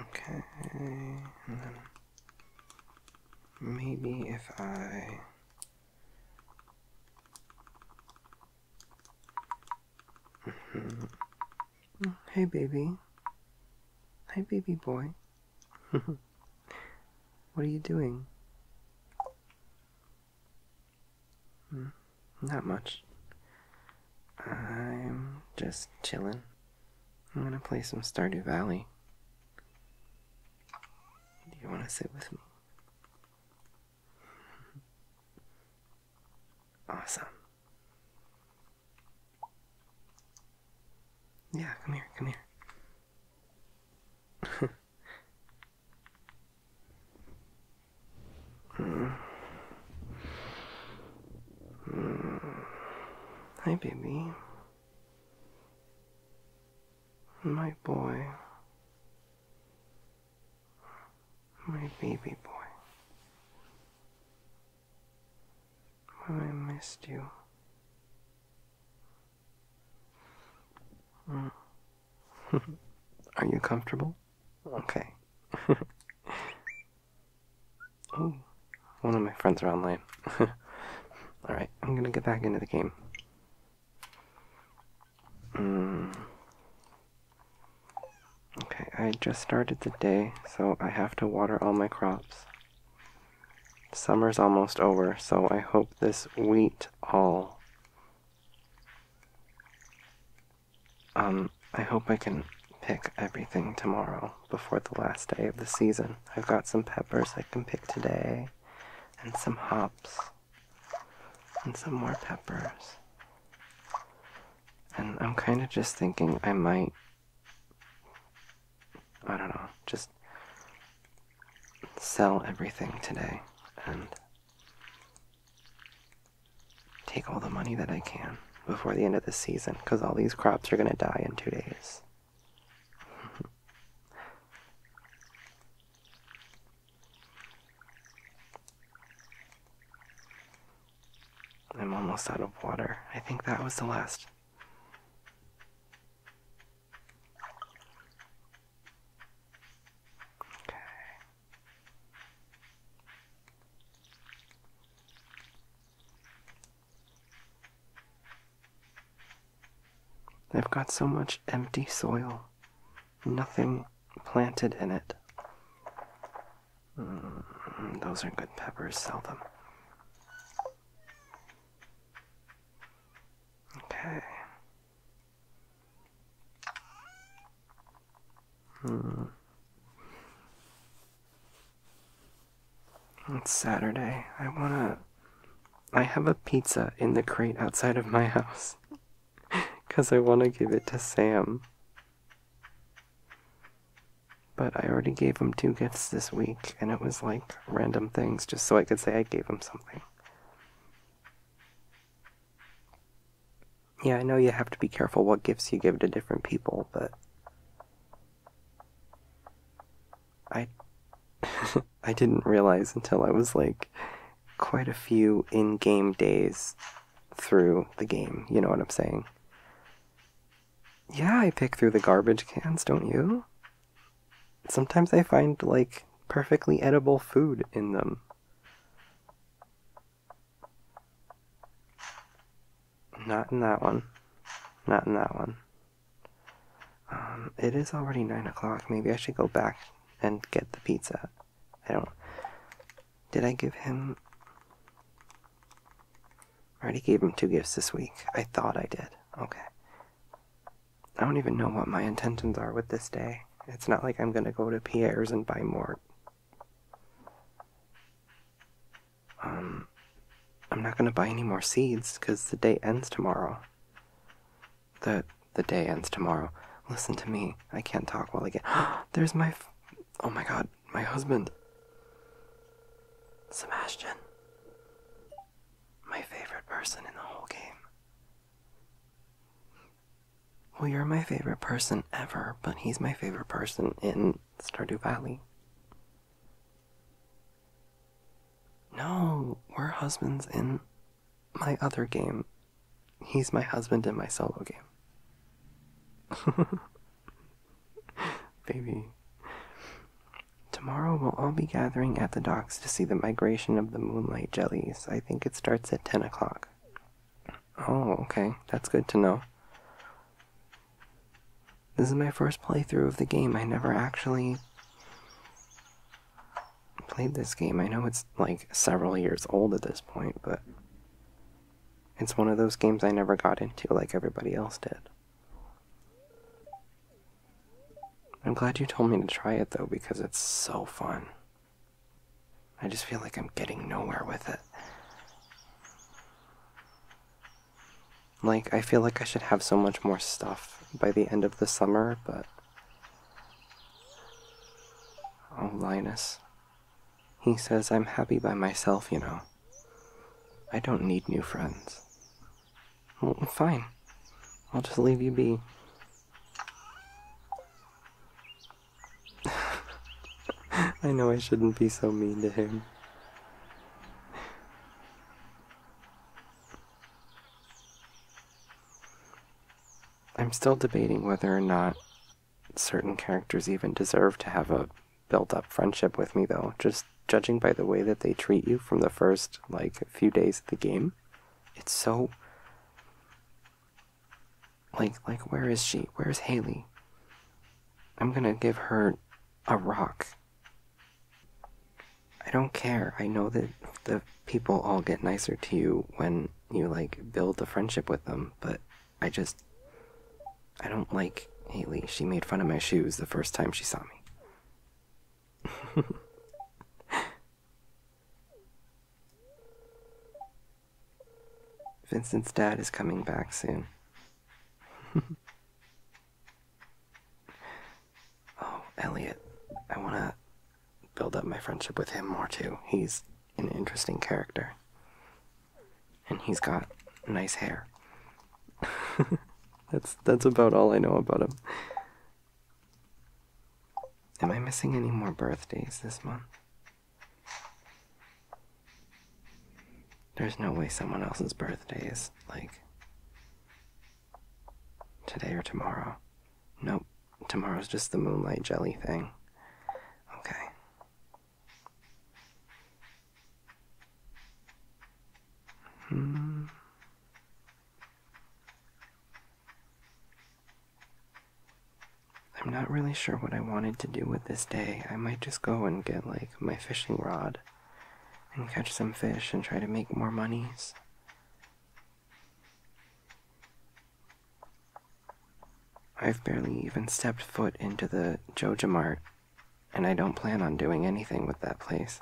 Okay, and then maybe if I mm-hmm. Hey baby. Hi baby boy. what are you doing? Hmm, not much. I'm just chilling. I'm gonna play some Stardew Valley. Do you wanna sit with me? Awesome. Yeah, come here, come here. Hmm. Hi, baby. My boy. My baby boy. I missed you. Hmm. Are you comfortable? Okay. oh, one of my friends are online. Alright, I'm gonna get back into the game. Mm. Okay, I just started the day, so I have to water all my crops. Summer's almost over, so I hope this wheat all um, I hope I can pick everything tomorrow before the last day of the season. I've got some peppers I can pick today, and some hops, and some more peppers. And I'm kind of just thinking I might. I don't know, just sell everything today and take all the money that I can before the end of the season because all these crops are going to die in two days. I'm almost out of water. I think that was the last. Okay i have got so much empty soil, nothing planted in it. Mm, those are good peppers, sell them. Okay. Hmm. It's Saturday. I wanna. I have a pizza in the crate outside of my house. Because I wanna give it to Sam. But I already gave him two gifts this week, and it was like random things just so I could say I gave him something. Yeah, I know you have to be careful what gifts you give to different people, but I I didn't realize until I was like quite a few in-game days through the game, you know what I'm saying? Yeah, I pick through the garbage cans, don't you? Sometimes I find like perfectly edible food in them. Not in that one. Not in that one. Um, it is already 9 o'clock. Maybe I should go back and get the pizza. I don't... Did I give him... already gave him two gifts this week. I thought I did. Okay. I don't even know what my intentions are with this day. It's not like I'm gonna go to Pierre's and buy more um, I'm not gonna buy any more seeds because the day ends tomorrow. The the day ends tomorrow. Listen to me. I can't talk while I get. There's my. oh my god, my husband. Sebastian. My favorite person in the whole game. Well, you're my favorite person ever, but he's my favorite person in Stardew Valley. No, we're husbands in my other game. He's my husband in my solo game. Baby. Tomorrow we'll all be gathering at the docks to see the migration of the moonlight jellies. I think it starts at 10 o'clock. Oh, okay. That's good to know. This is my first playthrough of the game. I never actually played this game. I know it's like several years old at this point, but it's one of those games I never got into like everybody else did. I'm glad you told me to try it though because it's so fun. I just feel like I'm getting nowhere with it. Like, I feel like I should have so much more stuff by the end of the summer, but. Oh, Linus. He says I'm happy by myself, you know. I don't need new friends. Well, fine. I'll just leave you be. I know I shouldn't be so mean to him. I'm still debating whether or not certain characters even deserve to have a built up friendship with me, though. Just judging by the way that they treat you from the first, like, few days of the game, it's so. Like, like, where is she? Where's Haley? I'm gonna give her a rock. I don't care. I know that the people all get nicer to you when you, like, build a friendship with them, but I just. I don't like Haley. She made fun of my shoes the first time she saw me. Vincent's dad is coming back soon. oh, Elliot. I want to build up my friendship with him more too. He's an interesting character. And he's got nice hair. that's that's about all I know about him. Am I missing any more birthdays this month? There's no way someone else's birthday is like today or tomorrow. Nope, tomorrow's just the moonlight jelly thing. Okay. Hmm. I'm not really sure what I wanted to do with this day. I might just go and get like my fishing rod and catch some fish and try to make more monies. I've barely even stepped foot into the Joja Mart, and I don't plan on doing anything with that place.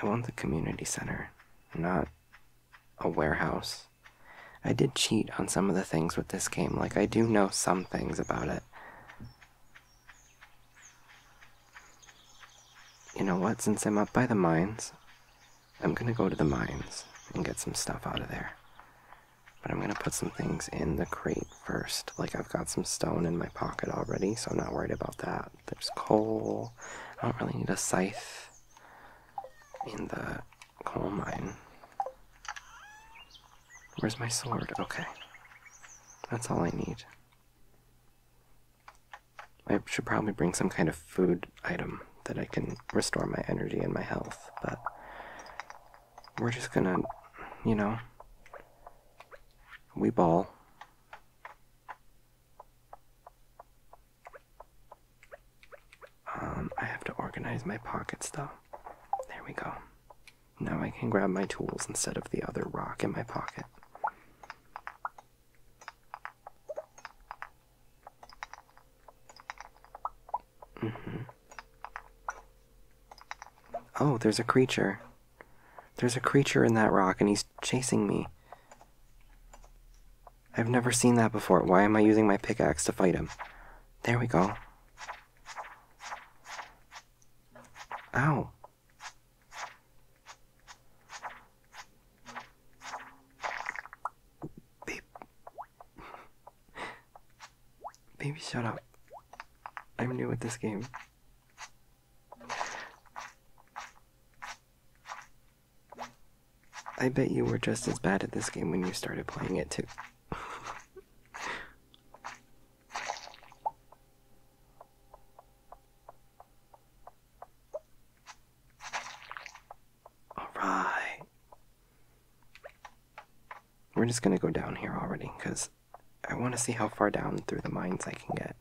I want the community center, not a warehouse. I did cheat on some of the things with this game, like, I do know some things about it. You know what? Since I'm up by the mines, I'm gonna go to the mines and get some stuff out of there. But I'm gonna put some things in the crate first. Like, I've got some stone in my pocket already, so I'm not worried about that. There's coal. I don't really need a scythe in the Coal mine. Where's my sword? Okay. That's all I need. I should probably bring some kind of food item that I can restore my energy and my health, but we're just gonna, you know, we ball. Um, I have to organize my pockets though. There we go. Now I can grab my tools instead of the other rock in my pocket. Mm-hmm. Oh, there's a creature. There's a creature in that rock and he's chasing me. I've never seen that before. Why am I using my pickaxe to fight him? There we go. Ow. Babe. Baby, shut up. I'm new with this game. I bet you were just as bad at this game when you started playing it too. All right. We're just going to go down here already because I want to see how far down through the mines I can get.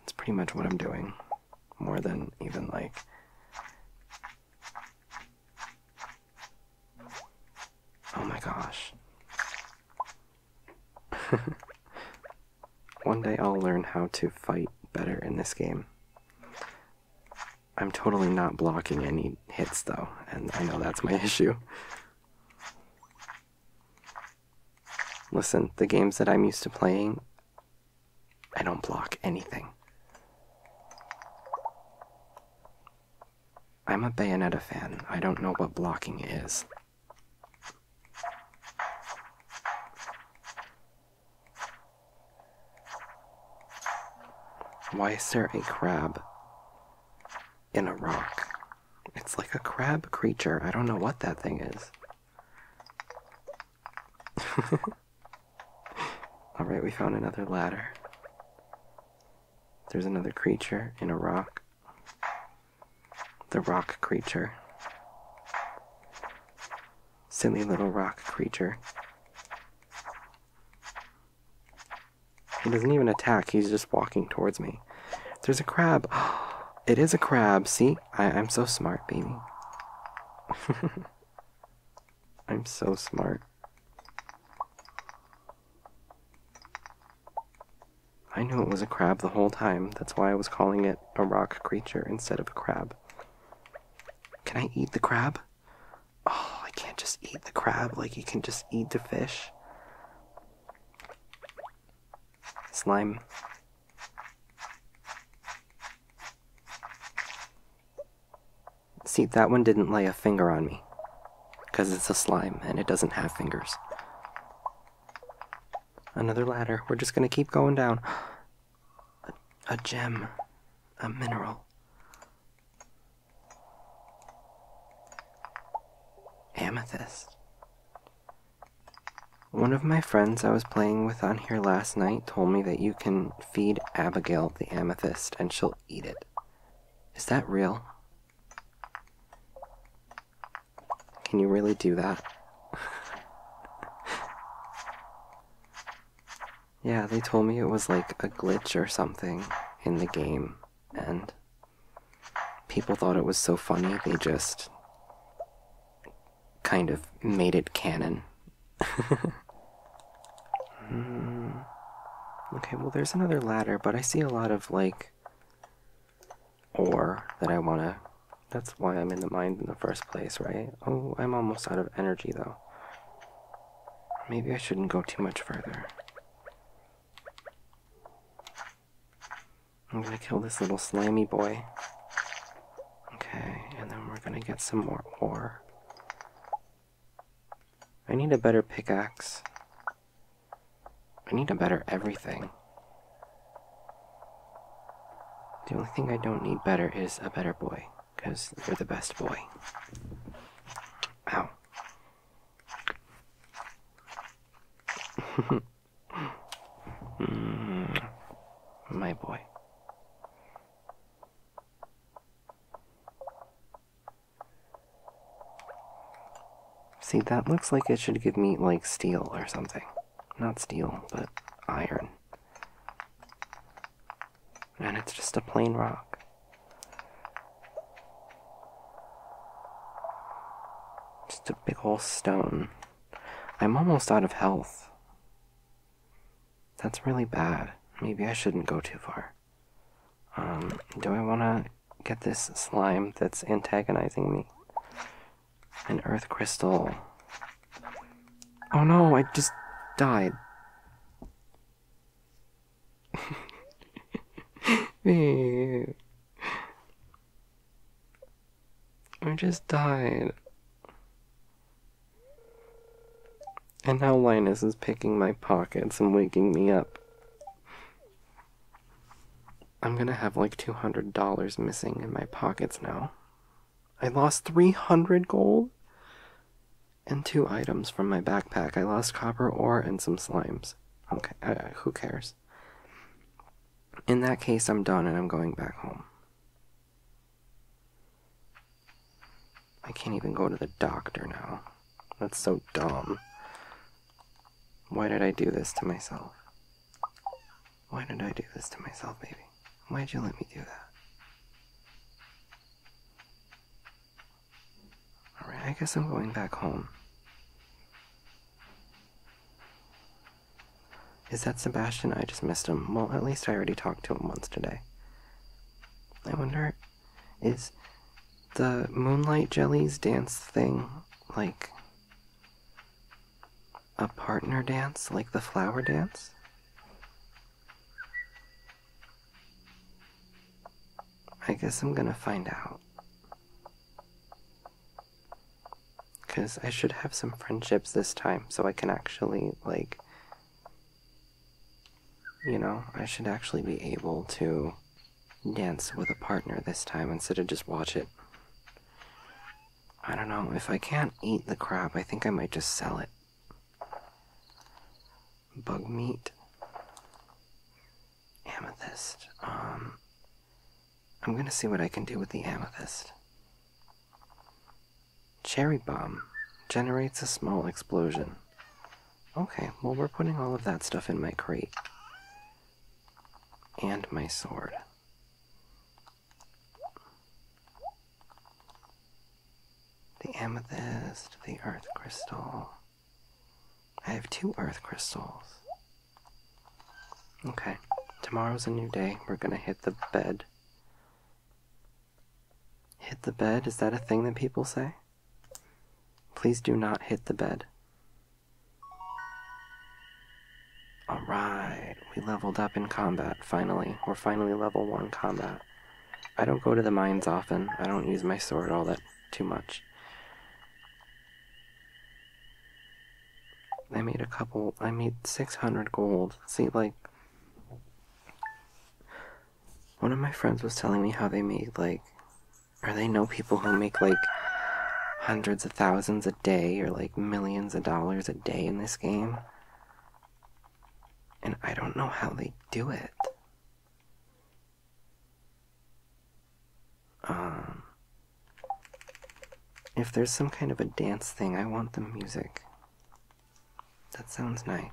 That's pretty much what I'm doing. More than even like Oh my gosh. One day I'll learn how to fight better in this game. I'm totally not blocking any hits though, and I know that's my issue. Listen, the games that I'm used to playing, I don't block anything. I'm a Bayonetta fan. I don't know what blocking is. Why is there a crab in a rock? It's like a crab creature. I don't know what that thing is. Alright, we found another ladder. There's another creature in a rock. The rock creature. Silly little rock creature. He doesn't even attack, he's just walking towards me. There's a crab. It is a crab. See? I, am so smart, baby. I'm so smart. I knew it was a crab the whole time. That's why I was calling it a rock creature instead of a crab. Can I eat the crab? Oh, I can't just eat the crab like you can just eat the fish. Slime. See, that one didn't lay a finger on me. Because it's a slime and it doesn't have fingers. Another ladder. We're just gonna keep going down. A, a gem. A mineral. Amethyst. One of my friends I was playing with on here last night told me that you can feed Abigail the amethyst and she'll eat it. Is that real? Can you really do that? yeah, they told me it was like a glitch or something in the game, and people thought it was so funny they just kind of made it canon. Hmm. Okay, well, there's another ladder, but I see a lot of, like, ore that I want to. That's why I'm in the mine in the first place, right? Oh, I'm almost out of energy, though. Maybe I shouldn't go too much further. I'm gonna kill this little slimy boy. Okay, and then we're gonna get some more ore. I need a better pickaxe. I need a better everything. The only thing I don't need better is a better boy, because you're the best boy. Ow. my boy. See, that looks like it should give me, like, steel or something. Not steel, but iron. And it's just a plain rock. Just a big old stone. I'm almost out of health. That's really bad. Maybe I shouldn't go too far. Um, do I want to get this slime that's antagonizing me? An earth crystal. Oh no, I just died. I just died. And now Linus is picking my pockets and waking me up. I'm gonna have like $200 missing in my pockets now. I lost 300 gold and two items from my backpack. I lost copper ore and some slimes. Okay, who cares? In that case, I'm done and I'm going back home. I can't even go to the doctor now. That's so dumb. Why did I do this to myself? Why did I do this to myself, baby? Why'd you let me do that? Alright, I guess I'm going back home. Is that Sebastian? I just missed him. Well, at least I already talked to him once today. I wonder is the Moonlight Jellies dance thing like a partner dance, like the flower dance? I guess I'm gonna find out. Because I should have some friendships this time so I can actually, like, you know, I should actually be able to dance with a partner this time instead of just watch it. I don't know, if I can't eat the crab, I think I might just sell it. Bug meat. Amethyst. Um, I'm gonna see what I can do with the amethyst. Cherry bomb generates a small explosion. Okay, well, we're putting all of that stuff in my crate. And my sword. The amethyst, the earth crystal. I have two earth crystals. Okay, tomorrow's a new day. We're gonna hit the bed. Hit the bed? Is that a thing that people say? Please do not hit the bed. Alright, we leveled up in combat, finally. We're finally level 1 combat. I don't go to the mines often. I don't use my sword all that too much. I made a couple, I made 600 gold. See, like, one of my friends was telling me how they made, like, are they no people who make like hundreds of thousands a day or like millions of dollars a day in this game. And I don't know how they do it. Um, if there's some kind of a dance thing, I want the music. That sounds nice.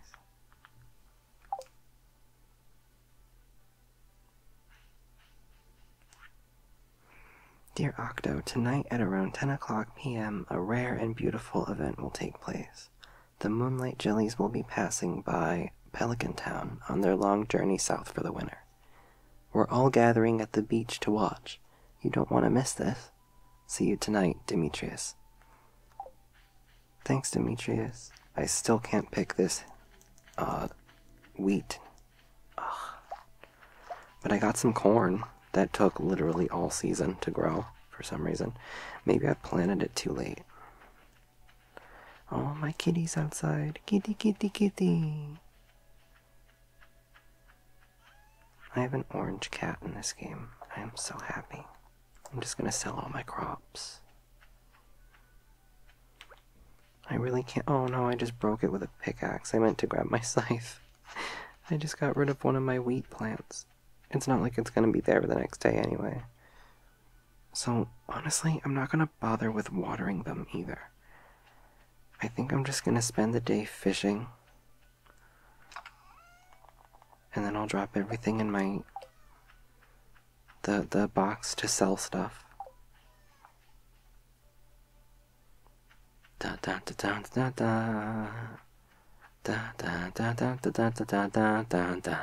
Dear Octo, tonight at around 10 o'clock p.m., a rare and beautiful event will take place. The Moonlight Jellies will be passing by Pelican Town on their long journey south for the winter. We're all gathering at the beach to watch. You don't want to miss this. See you tonight, Demetrius. Thanks, Demetrius. I still can't pick this uh, wheat. But I got some corn that took literally all season to grow for some reason. Maybe I planted it too late. Oh, my kitties outside. Kitty, kitty, kitty. I have an orange cat in this game. I am so happy. I'm just gonna sell all my crops. I really can't. Oh no, I just broke it with a pickaxe. I meant to grab my scythe. I just got rid of one of my wheat plants. It's not like it's gonna be there the next day anyway. So, honestly, I'm not gonna bother with watering them either. I think I'm just gonna spend the day fishing. And then I'll drop everything in my the the box to sell stuff. Da da da da da da da da da da da da da da da da.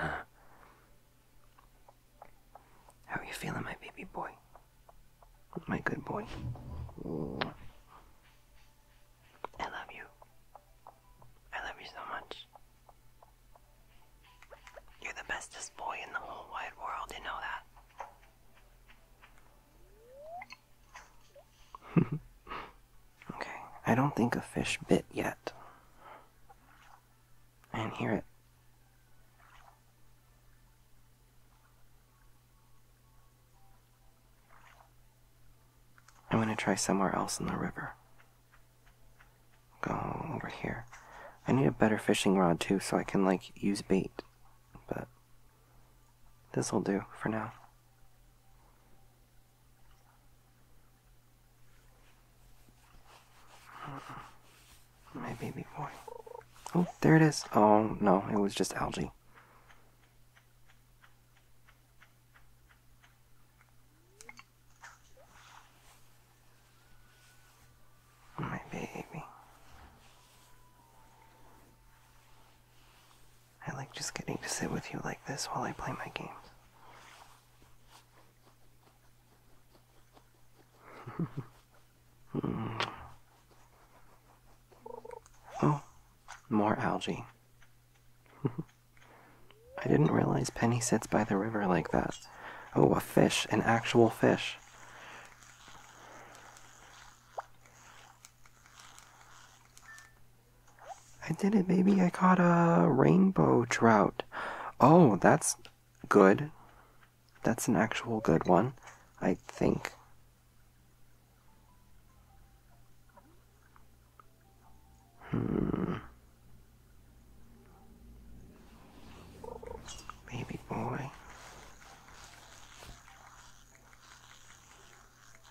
How are you feeling, my baby boy? My good boy. I love you. I love you so much. You're the bestest boy in the whole wide world, you know that. okay, I don't think a fish bit yet. I didn't hear it. I'm going to try somewhere else in the river. Go over here. I need a better fishing rod too, so I can like use bait. But this'll do for now. Hmm. My baby boy. Oh, there it is. Oh, no, it was just algae. My baby. I like just getting to sit with you like this while I play my games. Oh, more algae. I didn't realize Penny sits by the river like that. Oh, a fish, an actual fish. I did it, Maybe I caught a rainbow trout. Oh, that's good. That's an actual good one, I think. Hmm. Baby boy.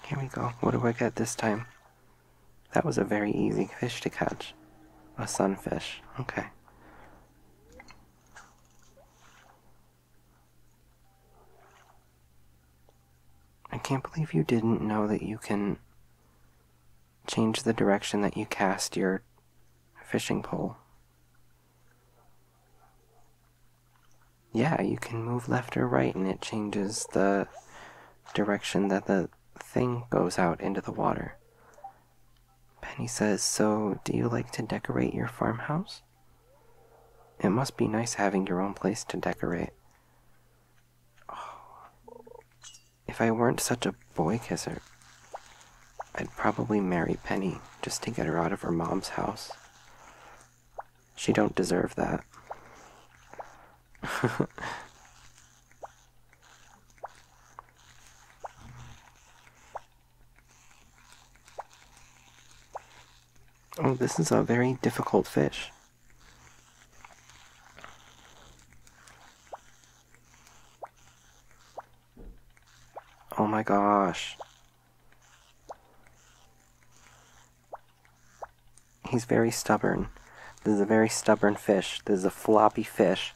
Here we go. What do I get this time? That was a very easy fish to catch. A sunfish. Okay. I can't believe you didn't know that you can change the direction that you cast your fishing pole. Yeah, you can move left or right and it changes the direction that the thing goes out into the water. Penny says, So, do you like to decorate your farmhouse? It must be nice having your own place to decorate. Oh, if I weren't such a boy kisser. I'd probably marry Penny just to get her out of her mom's house. She don't deserve that. oh, this is a very difficult fish. Oh my gosh. He's very stubborn. This is a very stubborn fish. This is a floppy fish.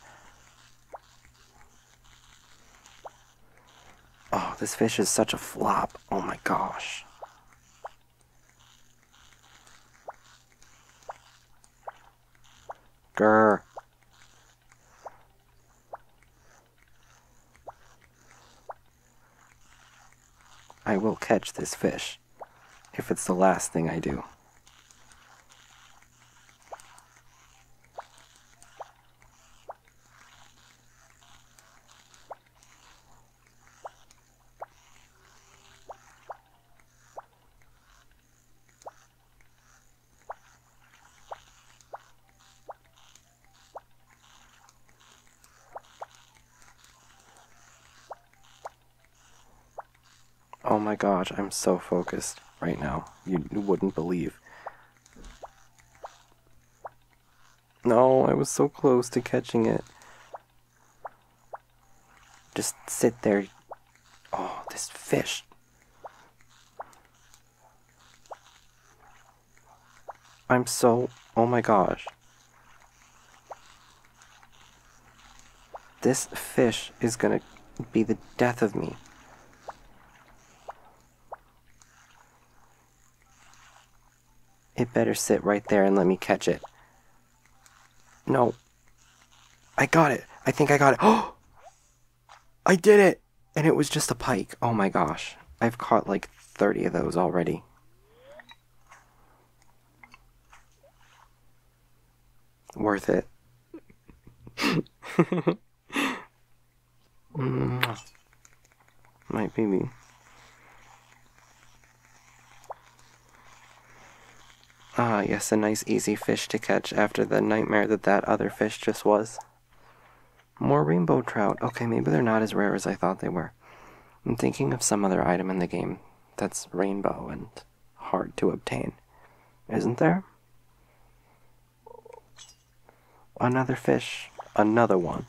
Oh, this fish is such a flop. Oh my gosh. Grr. I will catch this fish, if it's the last thing I do. Oh my gosh, I'm so focused right now. You wouldn't believe. No, I was so close to catching it. Just sit there. Oh, this fish. I'm so, oh my gosh. This fish is gonna be the death of me. It better sit right there and let me catch it. No. I got it. I think I got it. Oh! I did it! and it was just a pike. Oh my gosh. I've caught like 30 of those already. Worth it. mm. My baby. Ah, yes, a nice easy fish to catch after the nightmare that that other fish just was. More rainbow trout. Okay, maybe they're not as rare as I thought they were. I'm thinking of some other item in the game that's rainbow and hard to obtain. Isn't there? Another fish. Another one.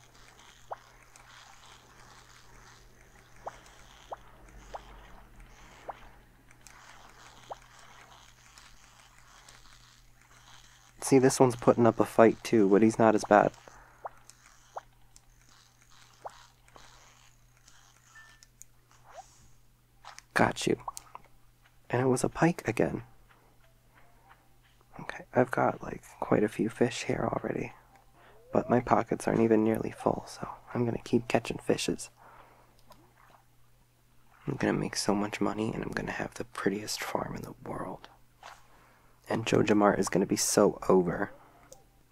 See, this one's putting up a fight too, but he's not as bad. Got you. And it was a pike again. Okay, I've got like quite a few fish here already. But my pockets aren't even nearly full, so I'm gonna keep catching fishes. I'm gonna make so much money and I'm gonna have the prettiest farm in the world. And Jojamart is gonna be so over.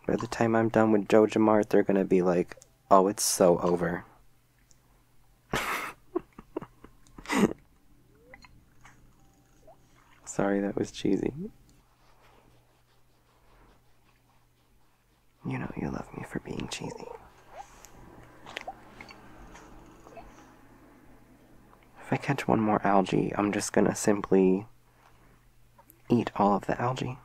By the time I'm done with Jojamart, they're gonna be like, oh, it's so over. Sorry, that was cheesy. You know you love me for being cheesy. If I catch one more algae, I'm just gonna simply eat all of the algae.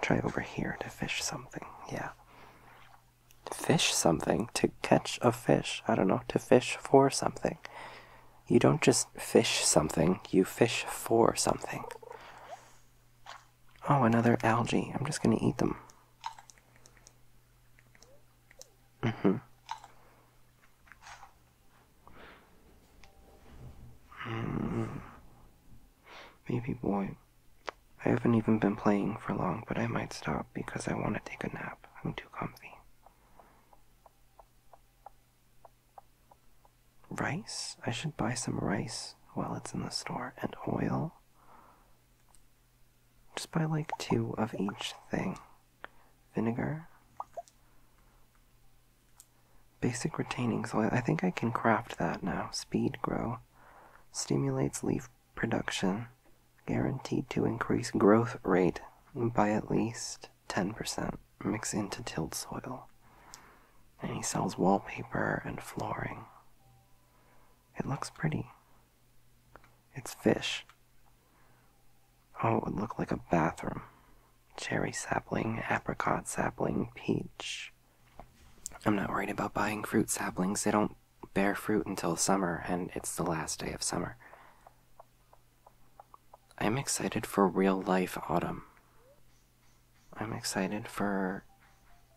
Try over here to fish something, yeah. Fish something, to catch a fish, I don't know, to fish for something. You don't just fish something, you fish for something. Oh, another algae. I'm just going to eat them. Mm-hmm. Mm hmm. Baby boy, I haven't even been playing for long, but I might stop because I want to take a nap. I'm too comfy. Rice? I should buy some rice while it's in the store, and oil. Just buy like two of each thing vinegar, basic retaining soil. I think I can craft that now. Speed grow, stimulates leaf production, guaranteed to increase growth rate by at least 10%. Mix into tilled soil and he sells wallpaper and flooring. It looks pretty. It's fish. Oh, it would look like a bathroom. Cherry sapling, apricot sapling, peach. I'm not worried about buying fruit saplings. They don't bear fruit until summer, and it's the last day of summer. I'm excited for real life autumn. I'm excited for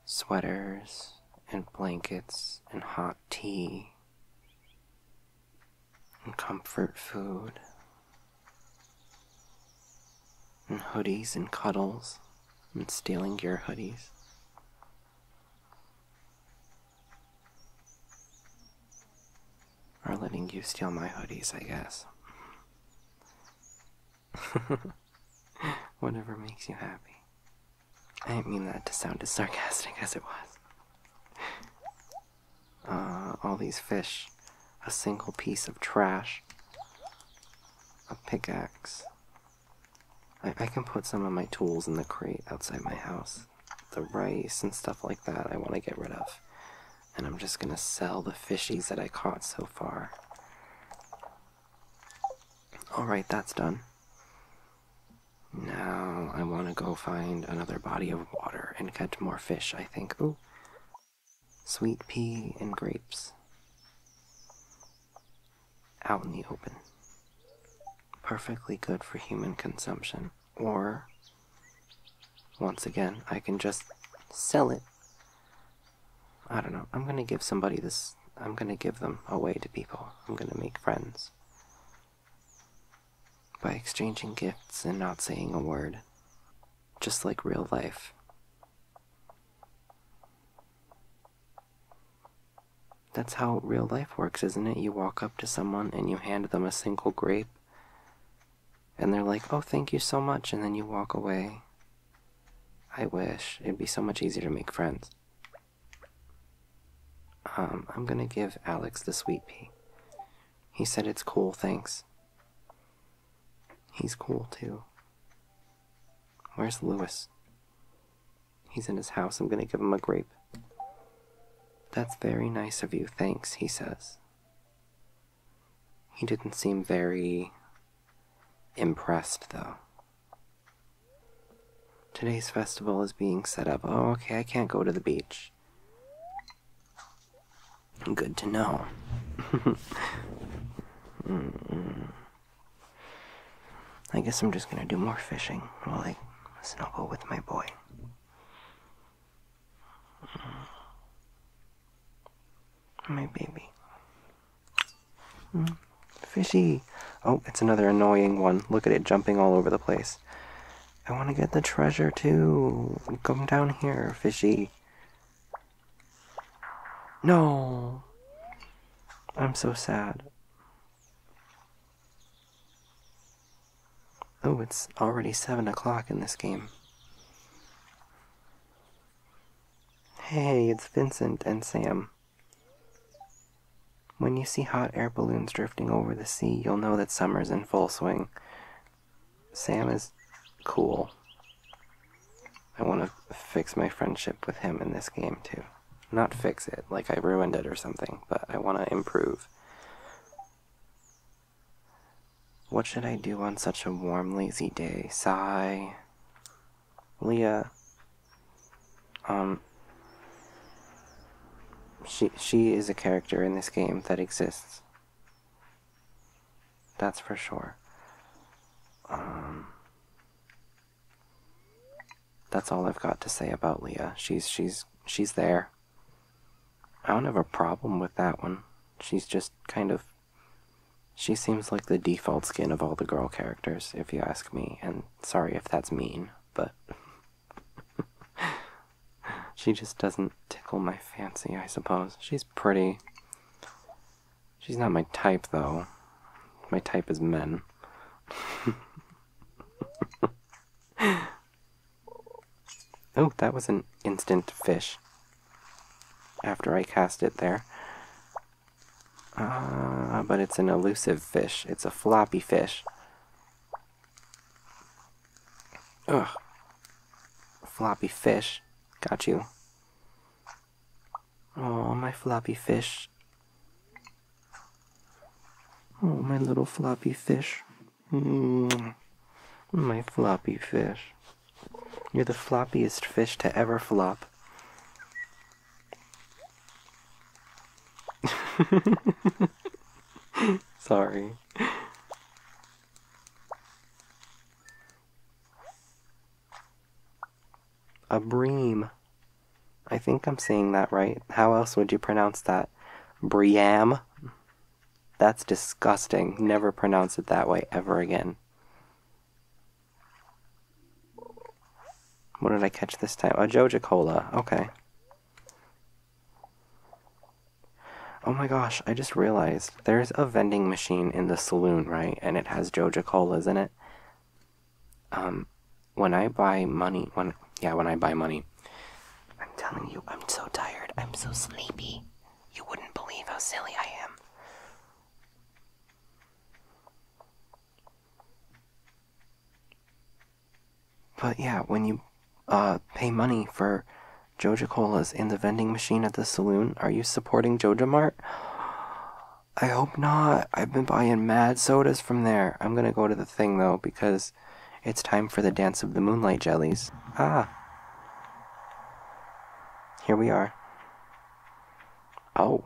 sweaters and blankets and hot tea and comfort food and hoodies and cuddles and stealing your hoodies. Or letting you steal my hoodies, I guess. Whatever makes you happy. I didn't mean that to sound as sarcastic as it was. Uh, all these fish, a single piece of trash, a pickaxe. I can put some of my tools in the crate outside my house. The rice and stuff like that I want to get rid of. And I'm just gonna sell the fishies that I caught so far. Alright, that's done. Now I want to go find another body of water and catch more fish, I think. Ooh. Sweet pea and grapes. Out in the open. Perfectly good for human consumption. Or, once again, I can just sell it I don't know. I'm gonna give somebody this. I'm gonna give them away to people. I'm gonna make friends. By exchanging gifts and not saying a word. Just like real life. That's how real life works, isn't it? You walk up to someone and you hand them a single grape, and they're like, oh, thank you so much, and then you walk away, I wish. It'd be so much easier to make friends. Um, I'm gonna give Alex the sweet pea. He said it's cool, thanks. He's cool too. Where's Louis? He's in his house. I'm gonna give him a grape. That's very nice of you, thanks, he says. He didn't seem very impressed, though. Today's festival is being set up. Oh, okay, I can't go to the beach. Good to know. Mm-hmm. I guess I'm just gonna do more fishing while I snuggle with my boy. My baby. Hmm. Fishy. Oh, it's another annoying one. Look at it jumping all over the place. I want to get the treasure too. Come down here, fishy. No. I'm so sad. Oh, it's already 7 o'clock in this game. Hey, it's Vincent and Sam. When you see hot air balloons drifting over the sea, you'll know that summer's in full swing. Sam is cool. I want to fix my friendship with him in this game, too. Not fix it, like I ruined it or something, but I want to improve. What should I do on such a warm, lazy day? Sigh. Leah, um, she she is a character in this game that exists. That's for sure. Um, that's all I've got to say about Leah. She's she's she's there. I don't have a problem with that one. She's just kind of she seems like the default skin of all the girl characters, if you ask me, and sorry if that's mean, but. she just doesn't tickle my fancy, I suppose. She's pretty. She's not my type, though. My type is men. oh, that was an instant fish. After I cast it there. Ah, but it's an elusive fish. It's a floppy fish. Ugh. Floppy fish. Got you. Oh, my floppy fish. Oh, my little floppy fish. Mm. My floppy fish. You're the floppiest fish to ever flop. Sorry. A bream. I think I'm saying that right. How else would you pronounce that? Briam? That's disgusting. Never pronounce it that way ever again. What did I catch this time? A Joja Cola. Okay. Oh my gosh, I just realized there's a vending machine in the saloon, right? And it has Joja Colas in it. Um, when I buy money, when, yeah, when I buy money, I'm telling you, I'm so tired. I'm so sleepy. You wouldn't believe how silly I am. But yeah, when you uh, pay money for Joja Colas in the vending machine at the saloon, are you supporting Joja Mart? I hope not. I've been buying mad sodas from there. I'm gonna go to the thing though because it's time for the dance of the moonlight jellies. Ah. Here we are. Oh.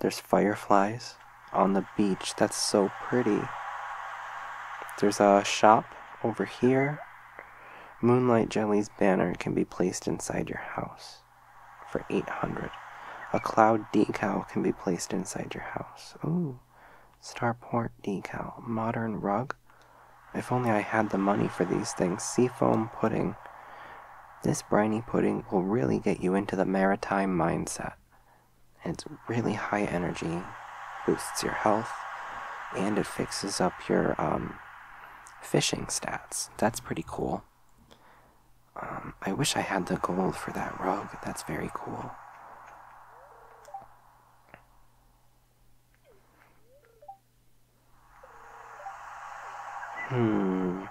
There's fireflies on the beach. That's so pretty. There's a shop over here. Moonlight Jelly's banner can be placed inside your house for 800. A cloud decal can be placed inside your house. Ooh, starport decal, modern rug. If only I had the money for these things. Seafoam pudding. This briny pudding will really get you into the maritime mindset. It's really high energy, boosts your health, and it fixes up your um, fishing stats. That's pretty cool. Um, I wish I had the gold for that rug. That's very cool. Hmm.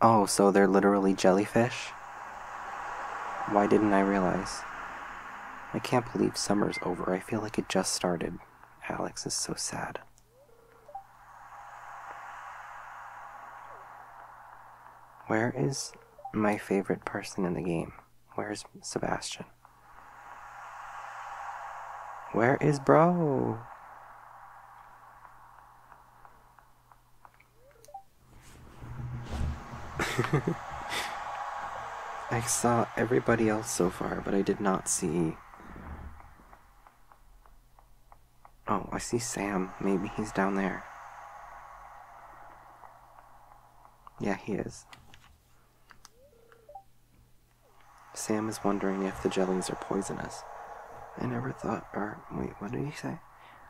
Oh, so they're literally jellyfish? Why didn't I realize? I can't believe summer's over. I feel like it just started. Alex is so sad. Where is my favorite person in the game? Where's Sebastian? Where is bro? I saw everybody else so far, but I did not see... Oh, I see Sam. Maybe he's down there. Yeah, he is. Sam is wondering if the jellies are poisonous. I never thought, or wait, what did he say?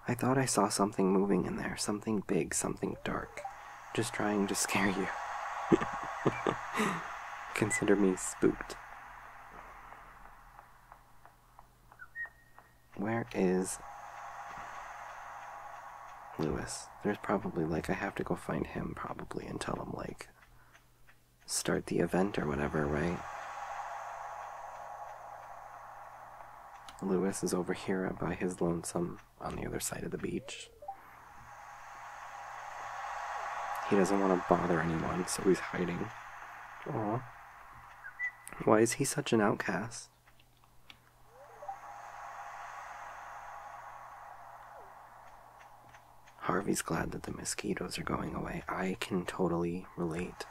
I thought I saw something moving in there, something big, something dark. Just trying to scare you. Consider me spooked. Where is Lewis? there's probably like I have to go find him probably and tell him like start the event or whatever, right? Lewis is over here by his lonesome on the other side of the beach. He doesn't want to bother anyone, so he's hiding. Aw. Why is he such an outcast? Harvey's glad that the mosquitoes are going away. I can totally relate.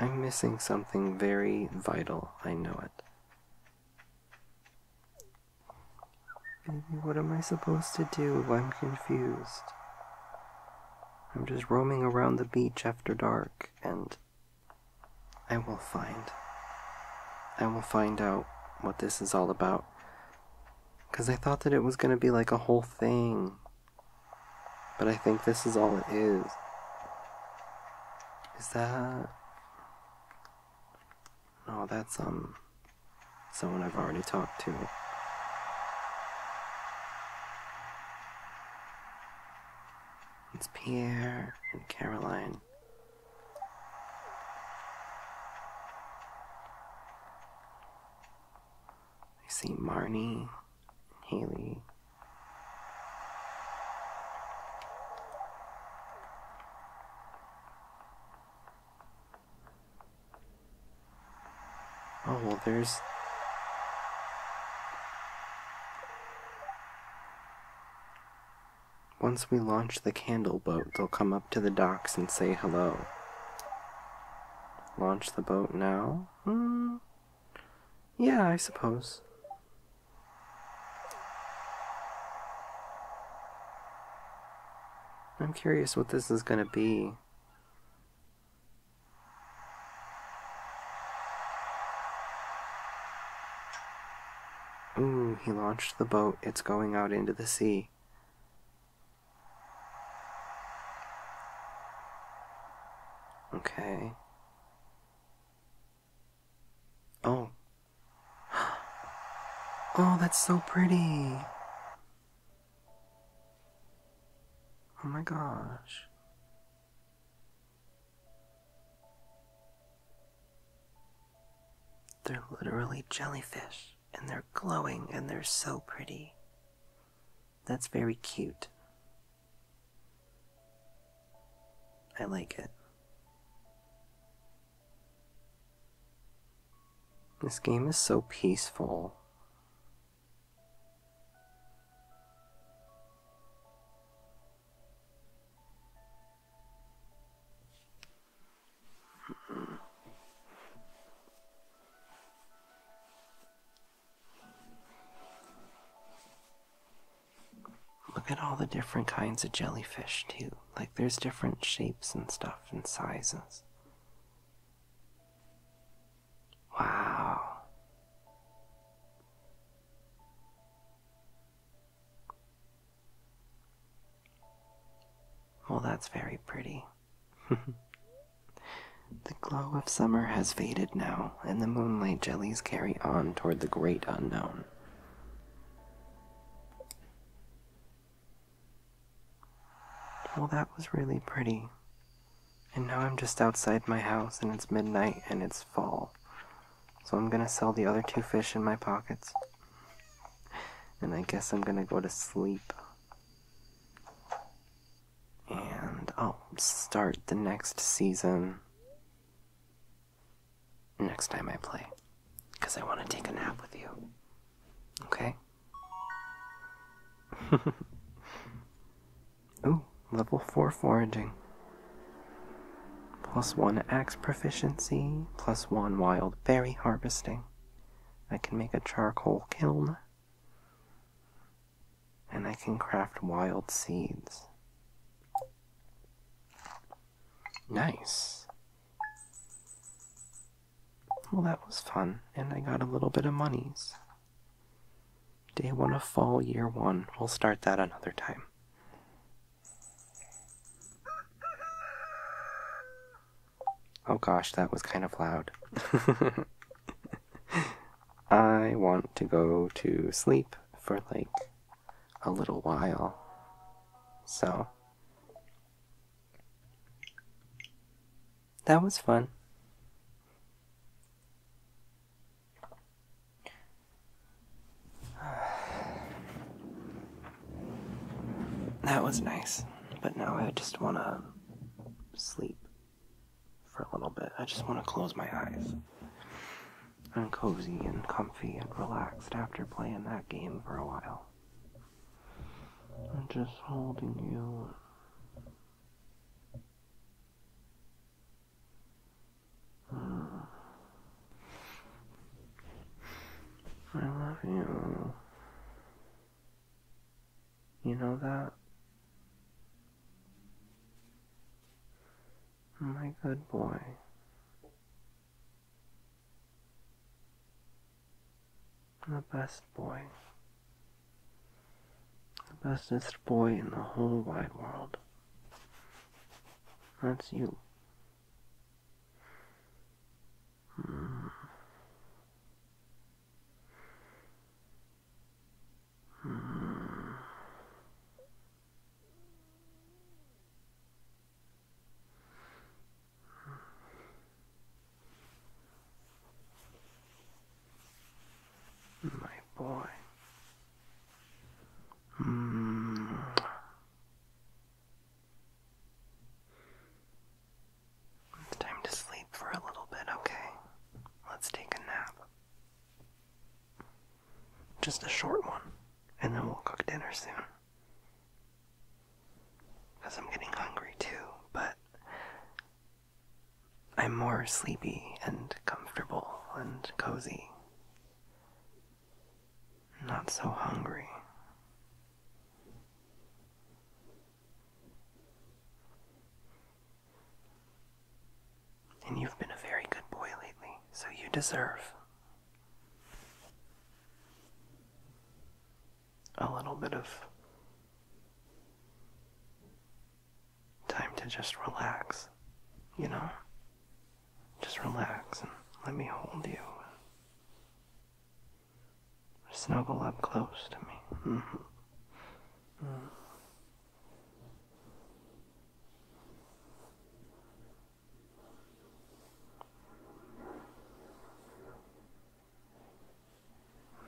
I'm missing something very vital, I know it. Baby, what am I supposed to do? I'm confused. I'm just roaming around the beach after dark, and I will find. I will find out what this is all about. Because I thought that it was going to be like a whole thing. But I think this is all it is. Is that. Oh, that's, um, someone I've already talked to. It's Pierre and Caroline. I see Marnie and Haley. Oh, well, there's... Once we launch the candle boat, they'll come up to the docks and say hello. Launch the boat now? Hmm. Yeah, I suppose. I'm curious what this is going to be. Ooh, he launched the boat. It's going out into the sea. Okay. Oh. Oh, that's so pretty. Oh my gosh. They're literally jellyfish, and they're glowing, and they're so pretty. That's very cute. I like it. This game is so peaceful. Look at all the different kinds of jellyfish, too. Like, there's different shapes and stuff and sizes. Wow. Well, that's very pretty. the glow of summer has faded now, and the moonlight jellies carry on toward the great unknown. Well, that was really pretty. And now I'm just outside my house and it's midnight and it's fall. So I'm gonna sell the other two fish in my pockets. And I guess I'm gonna go to sleep. And I'll start the next season next time I play. Because I want to take a nap with you. Okay? Ooh, level 4 foraging. Plus 1 axe proficiency, plus 1 wild berry harvesting. I can make a charcoal kiln. And I can craft wild seeds. Nice. Well, that was fun, and I got a little bit of monies. Day one of fall, year one. We'll start that another time. Oh gosh, that was kind of loud. I want to go to sleep for like a little while. So, that was fun. That was nice, but now I just want to sleep for a little bit. I just want to close my eyes. I'm cozy and comfy and relaxed after playing that game for a while. I'm just holding you. Hmm. I love you. You know that? My good boy. The best boy. The bestest boy in the whole wide world. That's you. My boy. Mm. It's time to sleep for a little bit, okay? Let's take a nap. Just a short one, and then we'll cook dinner soon. Because I'm getting hungry too, but I'm more sleepy and comfortable and cozy. Not so hungry. And you've been a very good boy lately, so you deserve a little bit of time to just relax, you know? Just relax and let me hold you. Snuggle up close to me. Mm -hmm.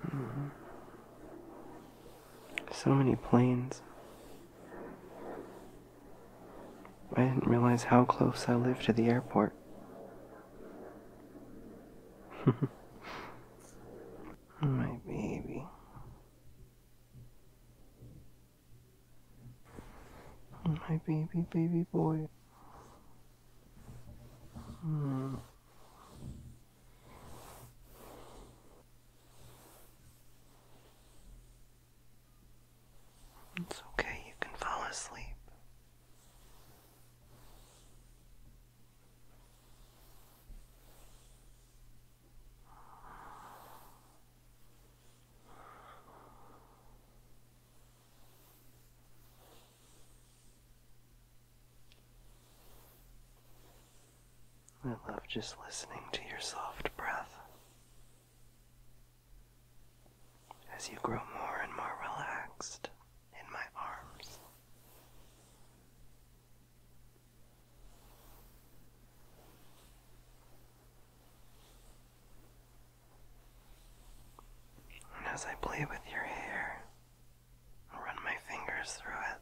Mm-hmm. So many planes. I didn't realize how close I lived to the airport. My baby. My baby, baby boy. Hmm. It's okay, you can fall asleep. I love just listening to your soft breath as you grow more and more relaxed in my arms. And as I play with your hair, I'll run my fingers through it.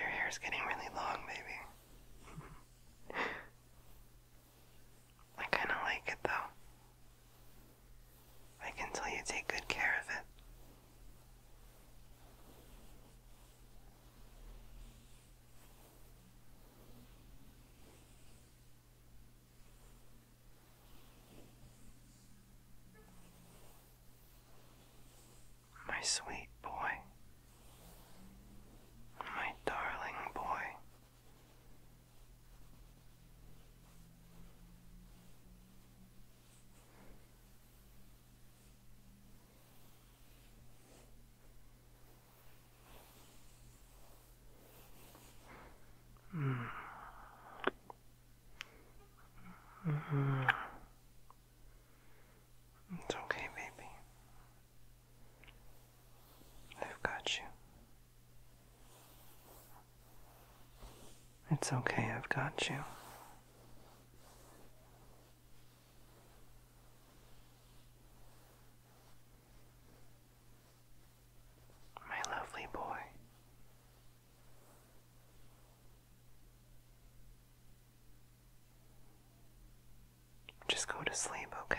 Your hair's getting really long, baby. I kind of like it though. I can tell you take good care of it. My sweet boy, my darling boy. Mm. Mm-hmm. It's okay, baby. I've got you. It's okay, I've got you my lovely boy. Just go to sleep, okay?